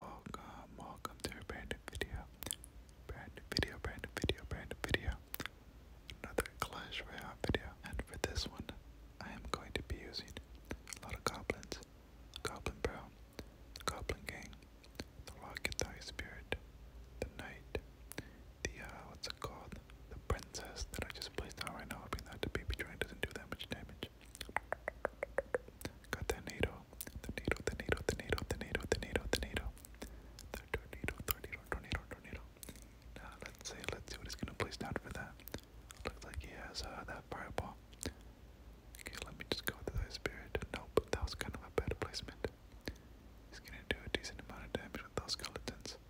Welcome, welcome to a brand new video. Brand new video, brand new video, brand new video. Another Clash Royale video. And for this one, I am going to be using a lot of goblins. Goblin Bro, Goblin Gang, the Rocket Thigh Spirit, the Knight, the uh what's it called? The Princess that I just placed down right now, hoping that the baby drain doesn't do that much damage. Got that NATO. The NATO, the NATO, the NATO, the NATO, the NATO, the NATO. The tornado, tornado, tornado, tornado. Now let's see, let's see what he's gonna place down for that. Looks like he has uh, that fireball. Okay, let me just go with the Spirit. Nope, that was kind of a bad placement. He's gonna do a decent amount of damage with those skeletons.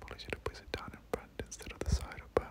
Probably should have placed it down in front instead of the side, but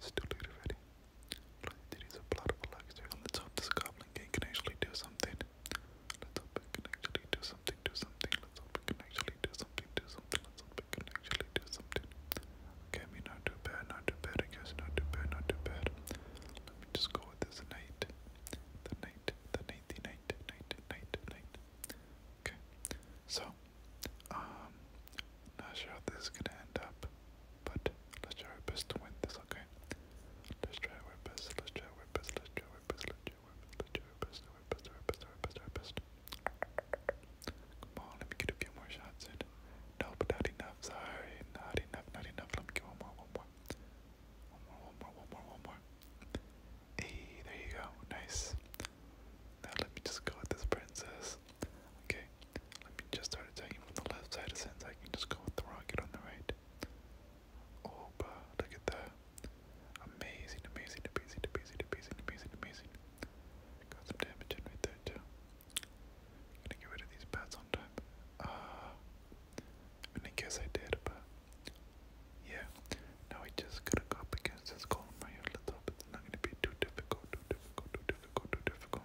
Still do ready. Let's Let's hope this goblin can actually do something. Let's hope it can actually do something, do something. Let's hope it can actually do something, do something. Let's hope it can actually do something. Okay, I mean, not too bad, not too bad, I guess. Not too bad, not too bad. Let me just go with this knight. The knight, the knight, the knight, knight, knight, knight. Okay, so, um, not sure how this is gonna end up. But let's try our best to win this, okay? Let's try our best, let's try our best, let's try our best, let's try our best, let's try our best, our best, our best, our best, our best. Come on, let me get a few more shots in. No, but not enough, sorry, not enough, not enough. Let me get one more. One more, one more, one more, one more. Hey, there you go, nice. Now let me just go with this princess. Okay, let me just start attacking from the left side since I can just go with the rocket on the right. Oh, but look at that. Amazing, amazing, amazing, amazing, amazing, amazing, Got some damage in right there too. gonna get rid of these bats on time. Ah, I mean, I guess I did, but yeah. Now we just gotta go up against this golem right here. Let's hope it's not gonna be too difficult, too difficult, too difficult, too difficult.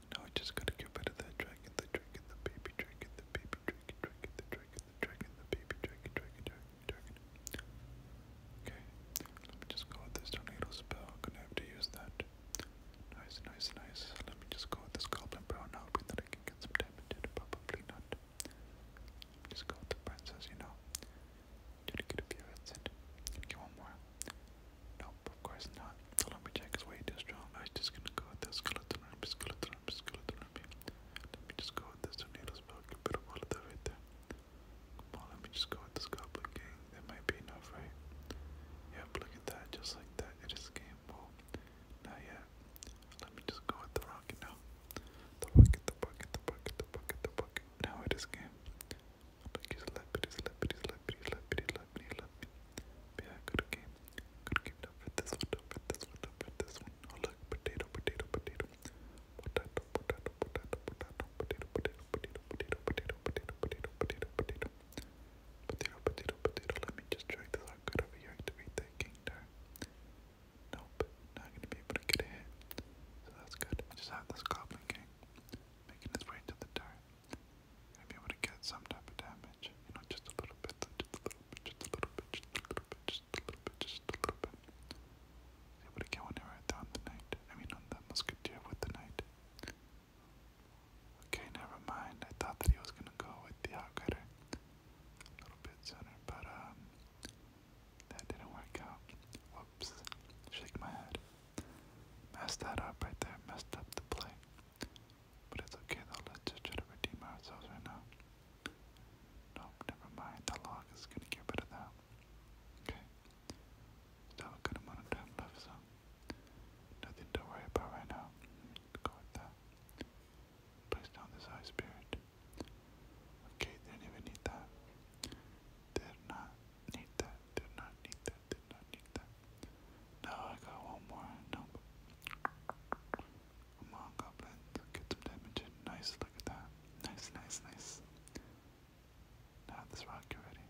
Now I just gotta get rid of that dragon, the dragon, the baby dragon, the baby dragon, dragon, the dragon, the dragon, the baby dragon, dragon, dragon, dragon. Okay, let me just go with this tornado spell. I'm gonna have to use that. Nice, nice, nice. Let me just go with this goblin brown now, hoping that I can get some damage in. Probably not. Just go with princess, you know. Try to get a few hits in. Get one more. Nope, of course not. The lumberjack is way too strong. I am just gonna go with the skeleton army, skeleton army, skeleton Let me just go with this tornado's bug, a bit of all of that right there. Come on, let me just go with this goblin gang. That might be enough, right? Yep, look at that, just like that. It is game ball. Not yet. Let me just go with the rocket now. The bucket, the bucket, the bucket, the bucket, the bucket. Now it is game. Look, he's leppity, leppity, leppity, leppity, अपनी love प्यार करके करके dub with this one dub with this one dub with this one और like potato potato potato potato potato potato potato potato potato potato potato potato potato potato potato potato potato potato potato let me just drag this out good over here activate that king turn nope not gonna be able to get a hit so that's good I just have this goblin king making his way to the turn I'd to get some type of damage, you know, just a little bit, just a little bit, just a little bit, just a little bit, just a little bit, just a little bit. Be able to get one right there on the knight. I mean, on the musketeer with the knight. Okay, never mind. I thought that he was gonna go with the outcutter a little bit sooner, but um, that didn't work out. Whoops! Shake my head. Messed that up right there. Messed up the play. But it's okay though, let's try to redeem ourselves right now. Nope, never mind. The log is gonna get rid of Okay. Still have a good left, so nothing to worry about right now. Go with that. Place down this high spirit. Okay, they didn't even need that. did not need that did not need that, did not need that. No, I got one more. Nope. Come on, goblin. Get some damage Nice, look at that. Nice, nice, nice. Now this rock already.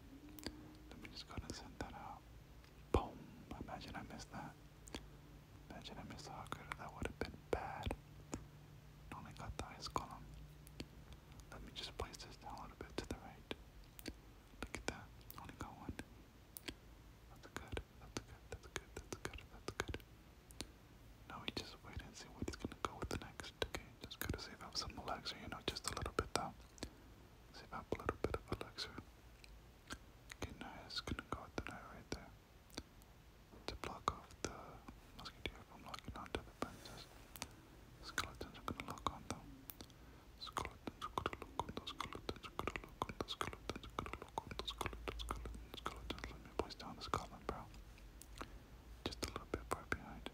Let me just go ahead and send that out. Boom! Imagine I missed that. Imagine I missed the Hawker. That would have been bad. Only got the ice column. Let me just place this down a little bit to the right. Look at that. Only got one. That's good. That's good. That's good. That's good. That's good. Now we just wait and see what gonna go with next. Okay, just gotta save up some elixir, you know, just a little bit though. Save up a little bit of elixir. Okay, now gonna go with the knight right there. To block off the musketeer from locking onto the princess. Skeletons gonna lock on though skeleton, Just a little bit far behind.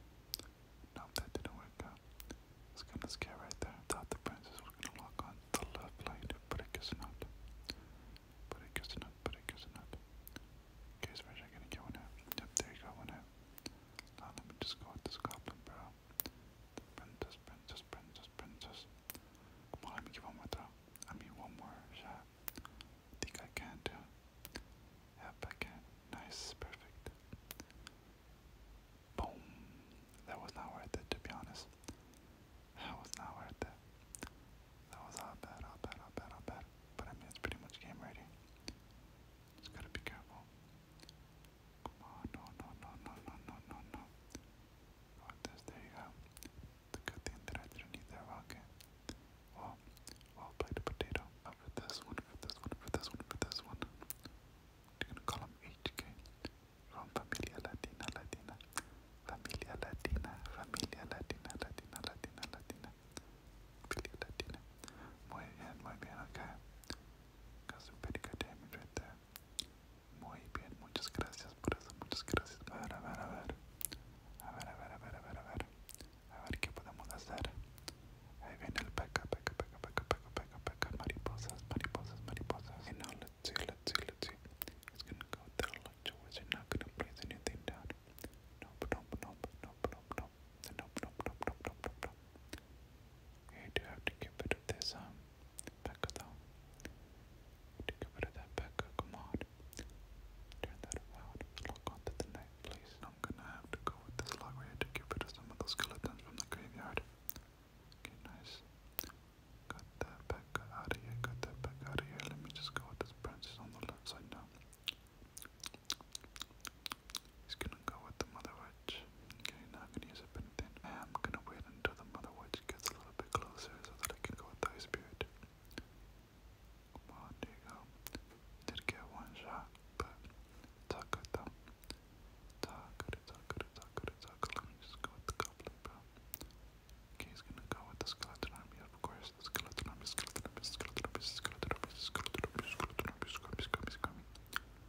Nope, that didn't work out. It's kind of scare right there. thought the princess was gonna lock on the left lane, but it guess not. But it guess not, but it guess not. Okay, so we're gonna get one out. Yep, there you go, one out. Now let me just go with this goblin, bro. Princess, princess, princess, princess. Come let me give one more I mean, one more shot. think I can too. Yep, I can. Nice, perfect. Boom. That was not worth it, to be honest. That was not worth it. That was all bad, all bad, all bad, all bad. But I mean, it's pretty much game ready. Just gotta be careful. Come no, no, no, no, no, no, no, no. Got this, there you go. Look at the interaction underneath there, okay. Well, well played potato. for this one, for this one, for this one, for this one. We're gonna call him HK. From Familia Latina, Latina. Familia Latina, Familia Latina, Latina, Latina, Latina. Latina. Muy bien, muy bien, okay. Hace un pretty good Muy bien, muchas gracias por eso, muchas gracias. A ver, a ver, a ver. A ver, a ver, a ver, a ver, a ver. qué podemos hacer. Ahí viene el peca, peca, peca, peca, peca, peca, peca. Mariposas, mariposas, mariposas. Y now let's see, let's see, let's see. It's gonna go there like you is not gonna place anything down. Nope, no, no, no, no, no, no, no, no, no, nope, We do have to get rid of this, um, Pekka though. We need to get rid that Pekka, come Turn that around, lock onto the knife, I'm gonna have to go with this log right here to get rid of some of those skeletons from the graveyard. Okay, nice. Got that Pekka out of here, got that Pekka out of here. Let me just go with this branch on the left side now. He's gonna go with the Mother Witch. Okay, not gonna use up anything. I'm gonna wait until the Mother Witch gets a little bit closer so that I can go with the Spirit. there you go. Did get one shot, but it's all good though. It's all Let me just go with the Goblin, Okay, he's gonna go with the Skeleton Army, of course. The Skeleton Army, Skeleton Army, Skeleton Army, Skeleton Army, Skeleton Army, Skeleton Army, Skeleton Army, Skeleton Army, Skeleton Army, Skeleton Army, Skeleton Army, Skeleton Army, Skeleton Army, Skeleton Army, Skeleton Army, Skeleton Army, Skeleton Army,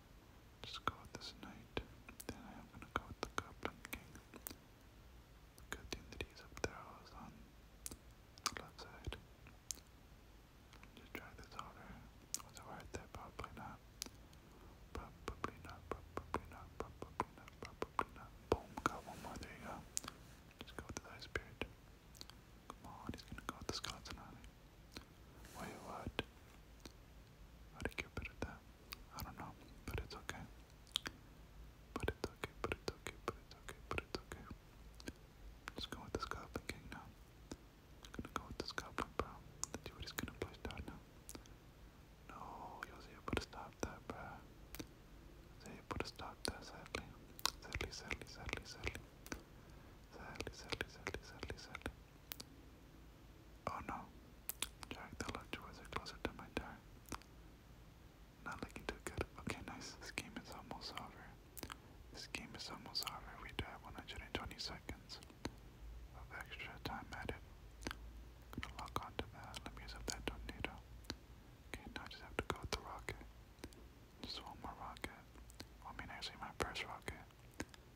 Just go with this knight. Then I am gonna go with the goblin king. Good thing that he's up there I was on the left side. Just try this order. Was it worth it? Probably not. Probably not, probably not, probably not, Boom, got one more, there you go. Just go with the ice spirit. Come on, he's gonna go with the skeleton on Wait, what? How to get better at that? I don't know, but it's okay. But it's okay, but it's okay, but it's okay, but it's okay. just going with this goblin king now. gonna go with this goblin, bro. The dude is gonna push down now. No, Yosi able to stop that, bro. They able to stop that, sadly. Sadly, sadly, sadly, sadly. Sadly, sadly, sadly, sadly, Oh no. Jack, the left doors closer to my door. Not looking too good. Okay, nice. This game is almost over. This game is almost over. We do have 120 seconds of extra time added. gonna lock onto that. Let me use up that tornado. Okay, now I just have to go with the rocket. Just one more rocket. I mean, actually, my first rocket.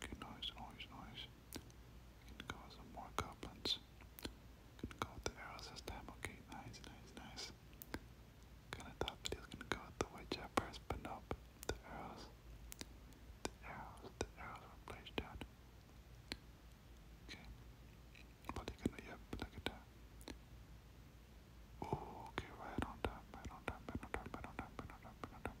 Good noise, noise, noise. Can go some more goblins. Can go with the arrows this time. Okay, nice, nice, nice. Kinda thought that he was gonna go with the witch at first, but nope. The arrows. The arrows, the arrows were placed down. Okay. But you gonna yep, look at that. Oh, okay, right on time, right on time, right on time, right on time, right on time, right on time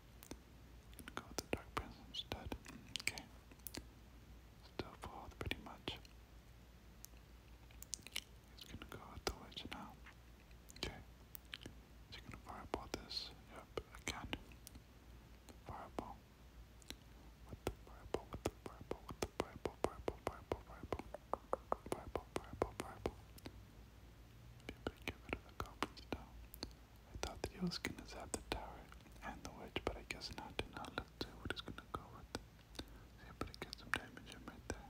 Gonna go with the Dark Prince instead. Okay. Still fold pretty much. He's gonna go with the Witch now. Okay. He's gonna fireball this. Yep, again. The fireball. With the fireball, with the fireball, with the fireball, fireball, fireball, fireball. Fireball, fireball, fireball. Maybe give it to the goblins now. I thought that he was gonna zap the tower and the witch, but I guess not. Now let's see what he's gonna go with. See, but it gets some damage right there.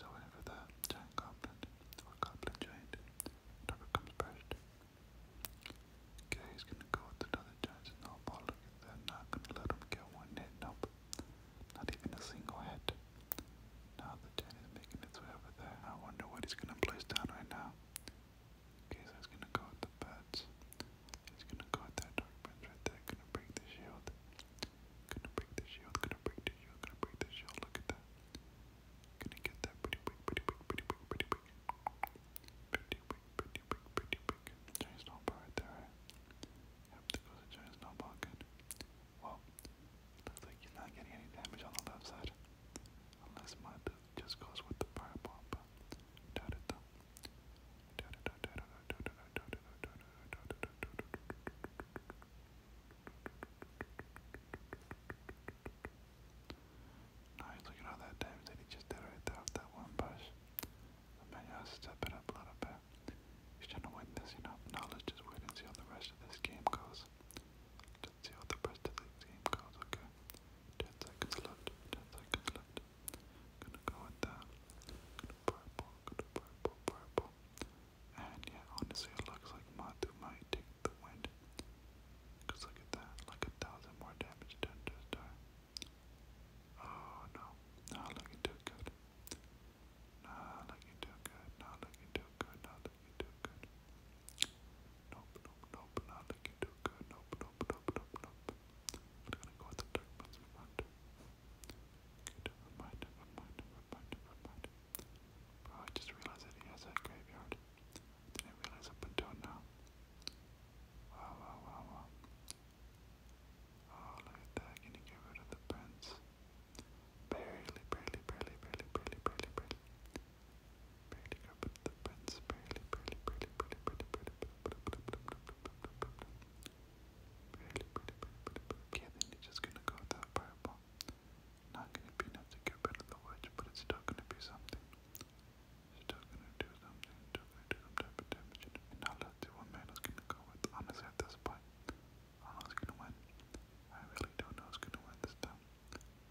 So whenever the giant goblin or goblin giant whatever comes Okay, he's gonna go with another giant snowball. Look at that, not gonna let him get one hit. Nope, not even a single hit. Now the giant is making its way over there. I wonder what he's gonna place down right now. Okay, so he's gonna go with the bats. gonna go with that dark prince right there. Gonna break the shield. Gonna break the shield. Gonna break the shield. Gonna break the shield. Look at that. Gonna get that pretty big, pretty big, pretty big, pretty big. Pretty big, pretty big, pretty big. Giant snowball right there, right? Yep, there goes a giant snowball again. Well, looks like he's not getting any damage on the left side. Unless my dude just goes with the fire bomb. Da da da. at all that damage that he just did right there with that one push. I you got step it up a little bit. He's trying to win this, you know. Now let's just wait and see how the rest of this game goes. Let's see how the rest of the game goes, okay? 10 seconds left, 10 seconds left. Gonna go with that. Gonna purple, gonna purple, purple. And yeah, honestly, it looks like Mathu might take the win. Cause look at that, like a thousand more damage done to star. Oh no, not looking too good. Not looking too good, not looking too good, not you too good. Nope, nope, nope, not look you too good. Nope, nope, nope, nope, nope. I'm gonna go with the dark ones we want. Okay, never mind, mind, never mind, mind. Bro, I just realized that he has a graveyard. Didn't realize up until now. Wow, wow, wow, wow. Oh, look at that. Can you get rid of the prince? Barely, barely, barely, barely, barely, barely, barely barely you're just gonna go with purple. Not gonna be enough to get rid the witch, but it's still gonna be something. It's still gonna do something, still gonna do some type of damage. And now let's see man is gonna go with. Honestly, at this point, I don't gonna win. I really don't know who's gonna win this time.